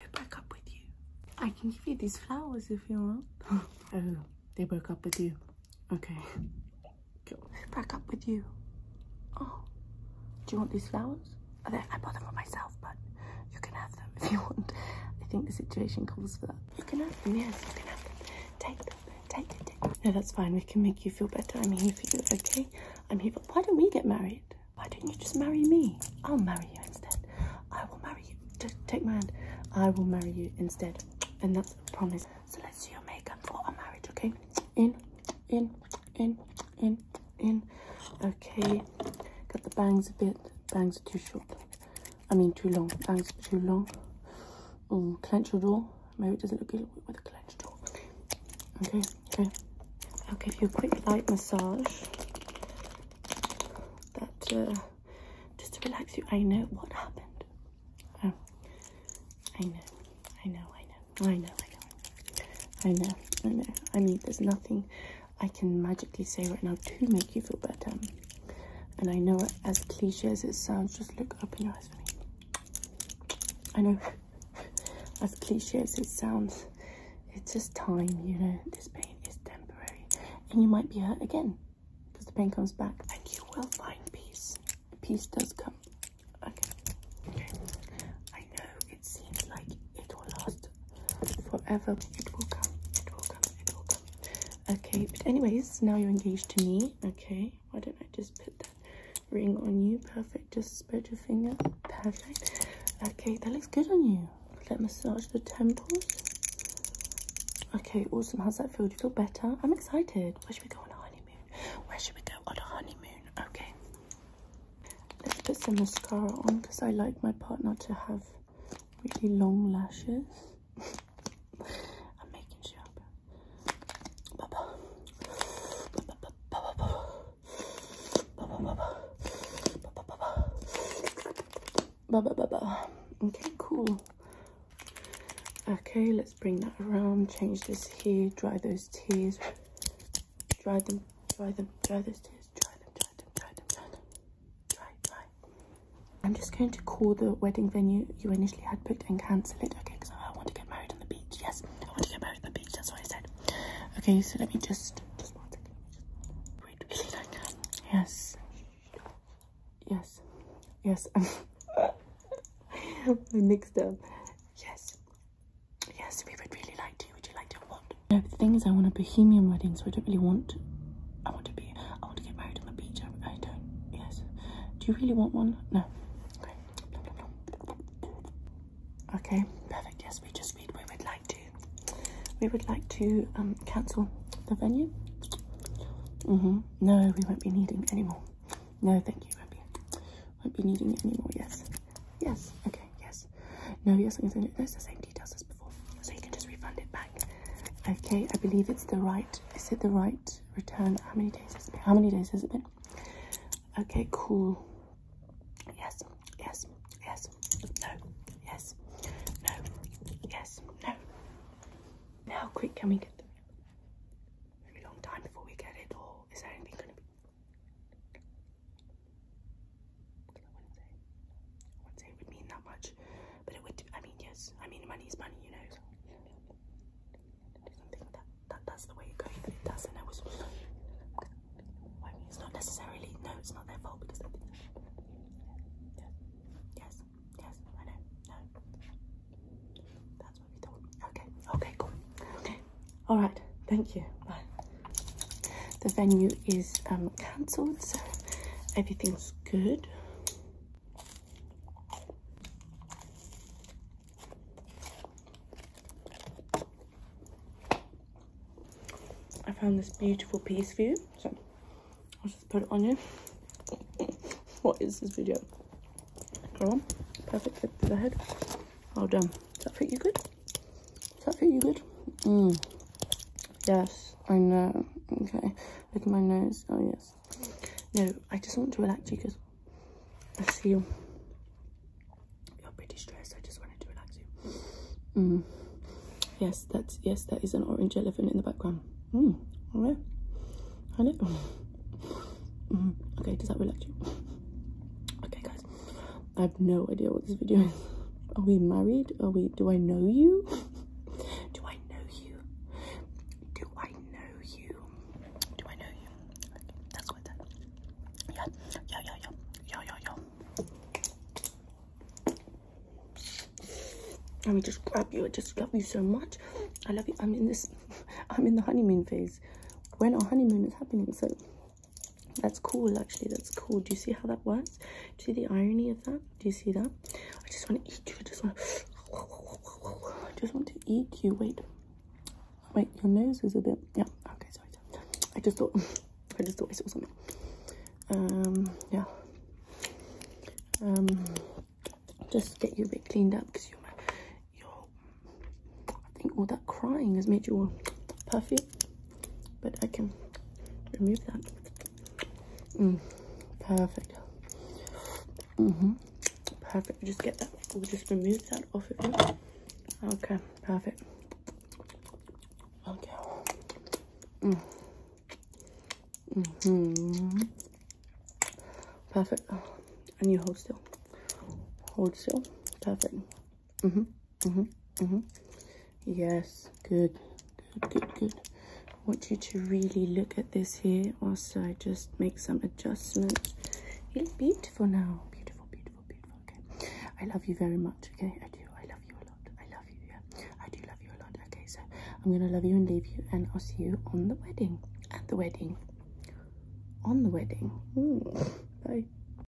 They up with you. I can give you these flowers if you want. oh, they broke up with you. Okay. Cool. Who up with you? Oh, do you want these flowers? I, bought them for myself, but you can have them if you want. I think the situation calls for that. You can have them, yes, you can have them. Take them, take them. take them. No, that's fine. We can make you feel better. I'm here for you, okay? I'm here for... Why don't we get married? Why don't you just marry me? I'll marry you instead. I will marry you. take my hand. I will marry you instead. And that's a promise. So let's do your makeup for our marriage, okay? In, in, in, in, in. Okay. Cut the bangs a bit. Bangs are too short. I mean too long. Bangs are too long. Mm, clench your jaw. Maybe it doesn't look good with a clenched jaw. Okay. I'll give you a quick light massage. That uh, just to relax you. I know what happened. Oh. I know. I know. I know. I know. I know. I know. I know. I mean, there's nothing I can magically say right now to make you feel better. And I know, as cliche as it sounds, just look up in your eyes for me. I know as cliche as it sounds, it's just time, you know, this pain is temporary. And you might be hurt again because the pain comes back and you will find peace. Peace does come. Okay. okay. I know it seems like it will last forever. It will come. It will come. It will come. Okay. But anyways, now you're engaged to me. Okay. Why don't I just put that ring on you. Perfect. Just spread your finger. Perfect. Okay, that looks good on you. Let massage the temples. Okay, awesome. How's that feel? Do you feel better? I'm excited. Where should we go on a honeymoon? Where should we go on a honeymoon? Okay. Let's put some mascara on because I like my partner to have really long lashes. I'm making sure, Okay, cool. Okay, let's bring that around, change this here, dry those tears. Dry them, dry them, dry those tears, dry them, dry them, dry them, dry them. Dry, dry. I'm just going to call the wedding venue you initially had booked and cancel it, okay, because I want to get married. Yes, I want to get buried on the beach. That's what I said. Okay, so let me just just one second. Wait, is it like Yes. Yes. Yes. I mixed up. Yes. Yes, we would really like to. Would you like to what? No, the thing is, I want a bohemian wedding, so I don't really want. I want to be. I want to get married on the beach. I, don't. Yes. Do you really want one? No. Okay, perfect. Yes, we just read. We would like to. We would like to um, cancel the venue. Mm -hmm. No, we won't be needing any more. No, thank you. Won't be. Won't be needing it anymore. Yes. Yes. Okay. Yes. No. Yes. I'm going the same details as before, so you can just refund it back. Okay. I believe it's the right. Is it the right? days return how many days has it been how many days has it been okay cool yes yes yes no yes no yes no now quick can we get them very long time before we get it or is there anything gonna be I wouldn't say I wouldn't say it would mean that much but it would I mean yes I mean money's money you know that, that that's the way it goes, but it doesn't. I was, I mean, it's not necessarily, no, it's not their fault yes, yes, yes, I know, that's what we thought. Okay, okay, cool, okay, all right, thank you. Bye. The venue is um, cancelled, so everything's good. I found this beautiful piece for you, so I'll just put it on you. what is this video? Go on, perfect fit for the head. Well done. Does that fit you good? Does that fit you good? Mmm. Yes, I know. Okay, look at my nose. Oh, yes. No, I just want to relax you because I see you. You're pretty stressed. I just wanted to relax you. Mm. Yes, that's, yes, that is an orange elephant in the background. Mm. All right. Hello. Mm. Mm-hmm. Okay, does that relax you? Okay, guys. I have no idea what this video is. Are we married? Are we, do I know you? Do I know you? Do I know you? Do I know you? that's what that. Yeah, yeah, yeah, yeah, yeah, Let me just grab you. I just love you so much. I love you. I'm in this. I'm in the honeymoon phase. When our honeymoon is happening, so that's cool. Actually, that's cool. Do you see how that works? Do you see the irony of that? Do you see that? I just want to eat you. I just want to. I just want to eat you. Wait. Wait, your nose is a bit. Yeah. Okay, sorry. I just thought. I just thought I saw something. Um, yeah. Um, just get your a bit cleaned up because you're, you're. I think all that crying has made you all puffy but I can remove that. Mm, perfect. Mm-hmm. Perfect. Just get that. We'll just remove that off of you. Okay. Perfect. Okay. Mm. Mm-hmm. Perfect. And you hold still. Hold still. Perfect. Mm-hmm. Mm-hmm. Mm-hmm. Yes. Good. Good. Good. Good. I want you to really look at this here. also. I just make some adjustments. You beautiful now. Beautiful. Beautiful. Beautiful. Okay. I love you very much. Okay. I do. I love you a lot. I love you. Yeah. I do love you a lot. Okay. So I'm gonna love you and leave you, and I'll see you on the wedding. At the wedding. On the wedding. Mm. Bye.